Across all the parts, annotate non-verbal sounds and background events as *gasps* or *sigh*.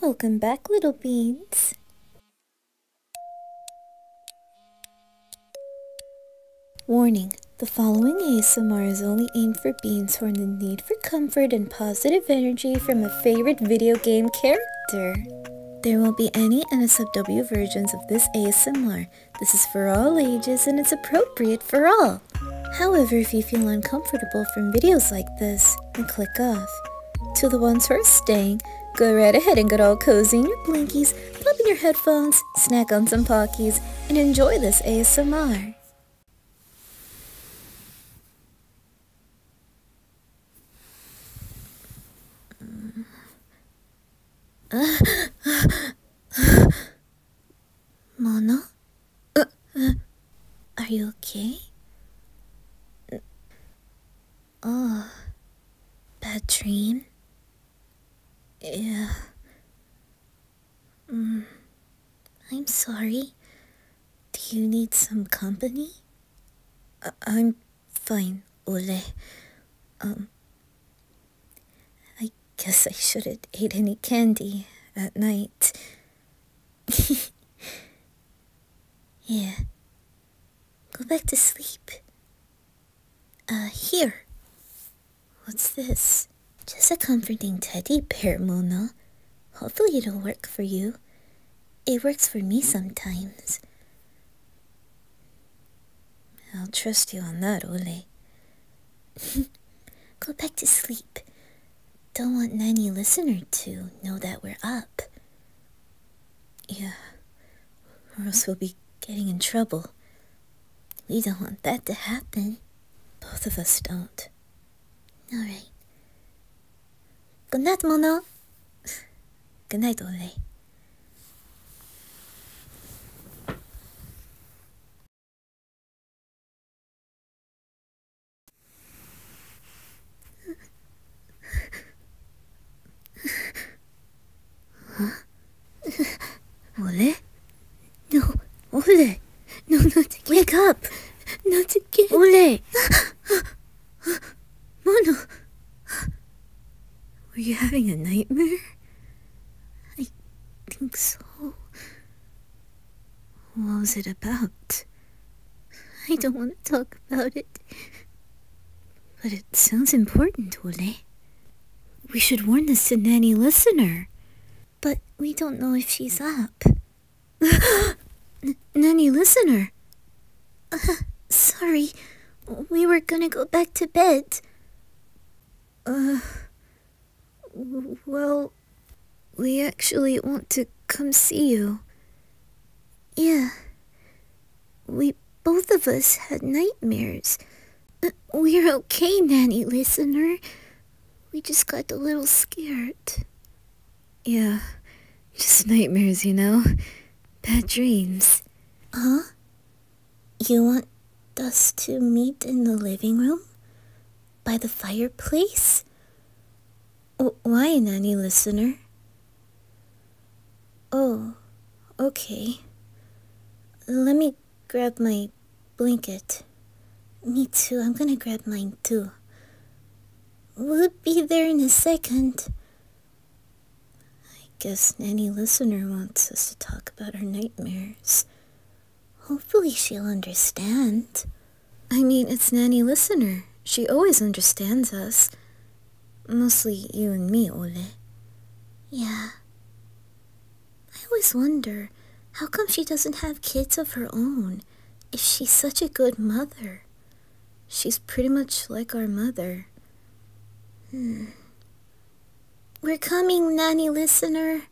Welcome back, little beans. Warning, the following ASMR is only aimed for beans who are in the need for comfort and positive energy from a favorite video game character. There will be any NSFW versions of this ASMR. This is for all ages and it's appropriate for all. However, if you feel uncomfortable from videos like this, and click off. To the ones who are staying, go right ahead and get all cozy in your blinkies, pop in your headphones, snack on some Pockies, and enjoy this ASMR. Mono? Uh, uh, are you okay? Oh, bad dream? Yeah. Mm, I'm sorry. Do you need some company? I uh, I'm fine, Ole. Um, I Guess I shouldn't eat any candy at night. *laughs* yeah. Go back to sleep. Uh, here. What's this? Just a comforting teddy bear, Mona. Hopefully it'll work for you. It works for me sometimes. I'll trust you on that, Ole. *laughs* Go back to sleep. Don't want Nanny Listener to know that we're up. Yeah, or else we'll be getting in trouble. We don't want that to happen. Both of us don't. Alright. Good night, Mona. *laughs* Good night, Ole. Ole? No, Ole! No, not again. Wake up! Not again. Ole! Mono! Were you having a nightmare? I think so. What was it about? I don't want to talk about it. But it sounds important, Ole. We should warn this to Listener. But we don't know if she's up. *gasps* N Nanny Listener! Uh-huh, sorry, we were gonna go back to bed. Uh, well, we actually want to come see you. Yeah. We both of us had nightmares. *laughs* We're okay, Nanny listener. We just got a little scared. Yeah, just nightmares, you know? Bad dreams. Huh? You want us to meet in the living room? By the fireplace? why, Nanny Listener? Oh, okay. Let me grab my blanket. Me too, I'm gonna grab mine too. We'll be there in a second. I guess Nanny Listener wants us to talk about our nightmares. Hopefully she'll understand. I mean, it's Nanny Listener. She always understands us. Mostly you and me, Ole. Yeah. I always wonder, how come she doesn't have kids of her own, if she's such a good mother? She's pretty much like our mother. Hmm. We're coming, Nanny Listener.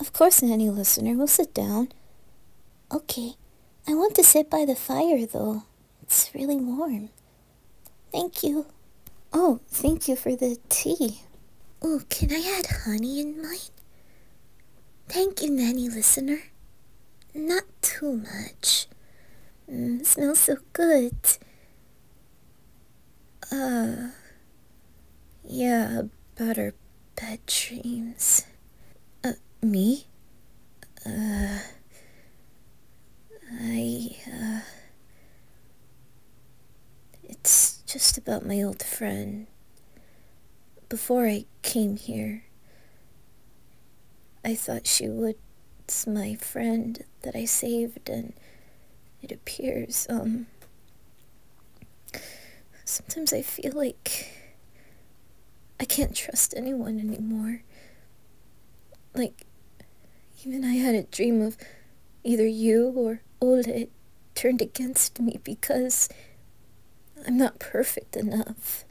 Of course, Nanny Listener, we'll sit down. Okay, I want to sit by the fire, though. It's really warm. Thank you. Oh, thank you for the tea. Oh, can I add honey in mine? Thank you, Nanny listener. Not too much. Mm, smells so good. Uh, yeah, better bad dreams. Uh, me? Uh, I, uh, it's just about my old friend. Before I came here, I thought she would. It's my friend that I saved, and it appears, um. Sometimes I feel like I can't trust anyone anymore. Like, even I had a dream of either you or Oleg turned against me because I'm not perfect enough,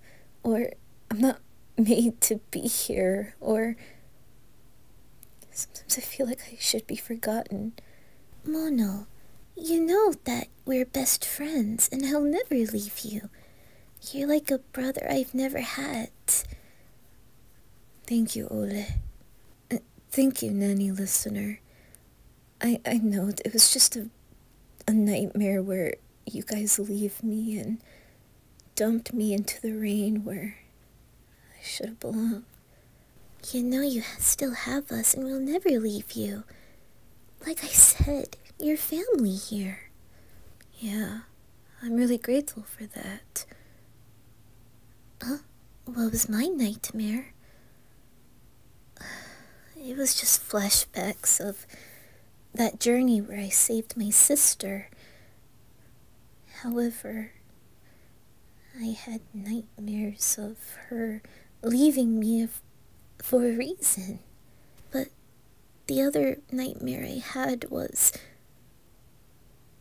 or I'm not made to be here, or sometimes I feel like I should be forgotten. Mono, you know that we're best friends and I'll never leave you. You're like a brother I've never had. Thank you, Ole. Thank you, Nanny Listener. I, I know it was just a, a nightmare where you guys leave me and dumped me into the rain where I should have belonged. You know you still have us and we'll never leave you. Like I said, your family here. Yeah, I'm really grateful for that. Huh? What was my nightmare? It was just flashbacks of that journey where I saved my sister. However, I had nightmares of her leaving me for a reason. But the other nightmare I had was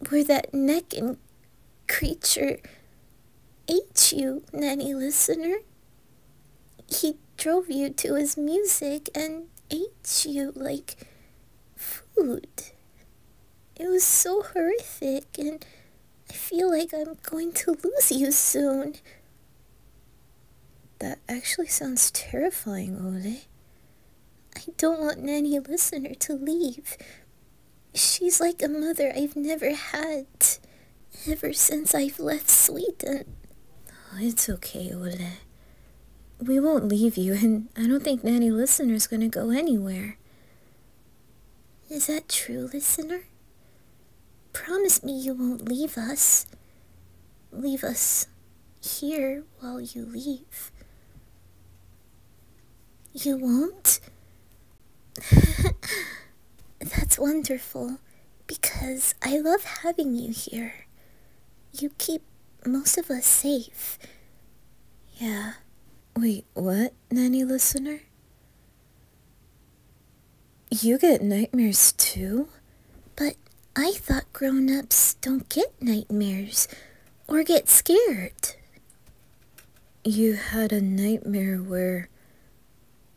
where that neck and creature ate you, Nanny Listener. He drove you to his music and ate you like food. It was so horrific, and I feel like I'm going to lose you soon. That actually sounds terrifying, Ole. I don't want Nanny Listener to leave. She's like a mother I've never had ever since I've left Sweden. Oh, it's okay, Ole. We won't leave you, and I don't think Nanny Listener's gonna go anywhere. Is that true, Listener? Promise me you won't leave us. Leave us here while you leave. You won't? *laughs* That's wonderful, because I love having you here. You keep most of us safe. Yeah. Wait, what, Nanny Listener? You get nightmares too? But I thought grown-ups don't get nightmares or get scared. You had a nightmare where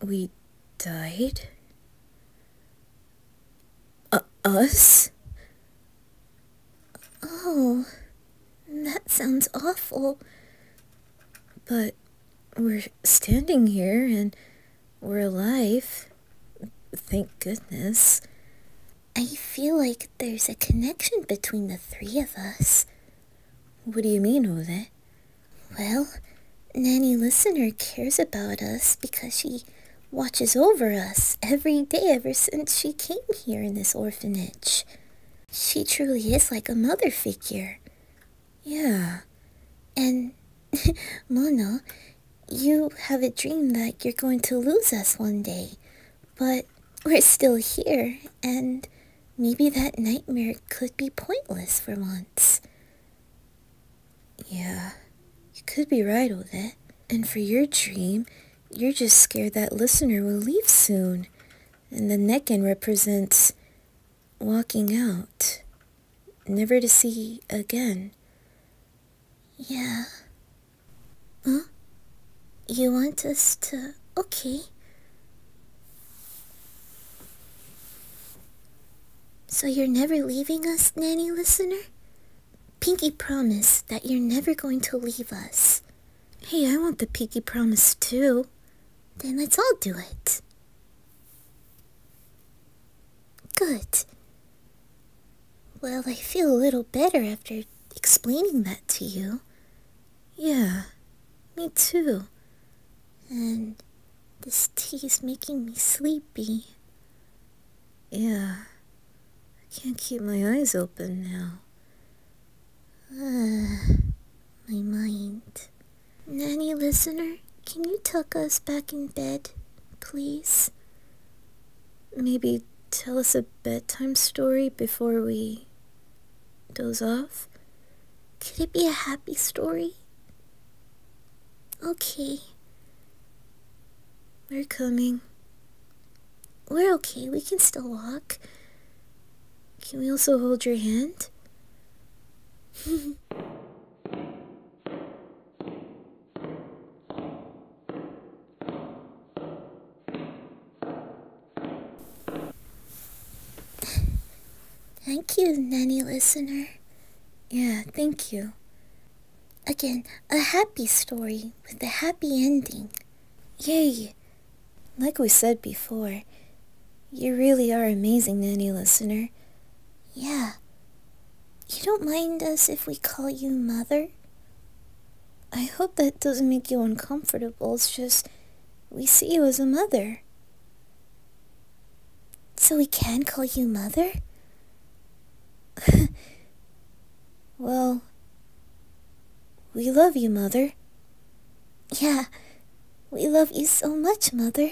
we died? Uh, us? Oh, that sounds awful. But we're standing here and we're alive. Thank goodness. I feel like there's a connection between the three of us. What do you mean, Jose? Well, Nanny Listener cares about us because she watches over us every day ever since she came here in this orphanage. She truly is like a mother figure. Yeah. And, *laughs* Mona, you have a dream that you're going to lose us one day. But we're still here, and maybe that nightmare could be pointless for once. Yeah, you could be right, with it. And for your dream, you're just scared that listener will leave soon. And the Necken represents walking out, never to see again. Yeah, Huh? You want us to... Okay. So you're never leaving us, Nanny Listener? Pinky promised that you're never going to leave us. Hey, I want the Pinky promise too. Then let's all do it. Good. Well, I feel a little better after explaining that to you. Yeah, me too. And this tea is making me sleepy. Yeah, I can't keep my eyes open now. Uh, my mind. Nanny listener, can you tuck us back in bed, please? maybe tell us a bedtime story before we doze off? Could it be a happy story? Okay. We're coming. We're okay, we can still walk. Can we also hold your hand? *laughs* Thank you, Nanny Listener. Yeah, thank you. Again, a happy story with a happy ending. Yay! Like we said before, you really are amazing, Nanny Listener. Yeah, you don't mind us if we call you Mother? I hope that doesn't make you uncomfortable, it's just we see you as a mother. So we can call you Mother? *laughs* well, we love you, Mother. Yeah, we love you so much, Mother.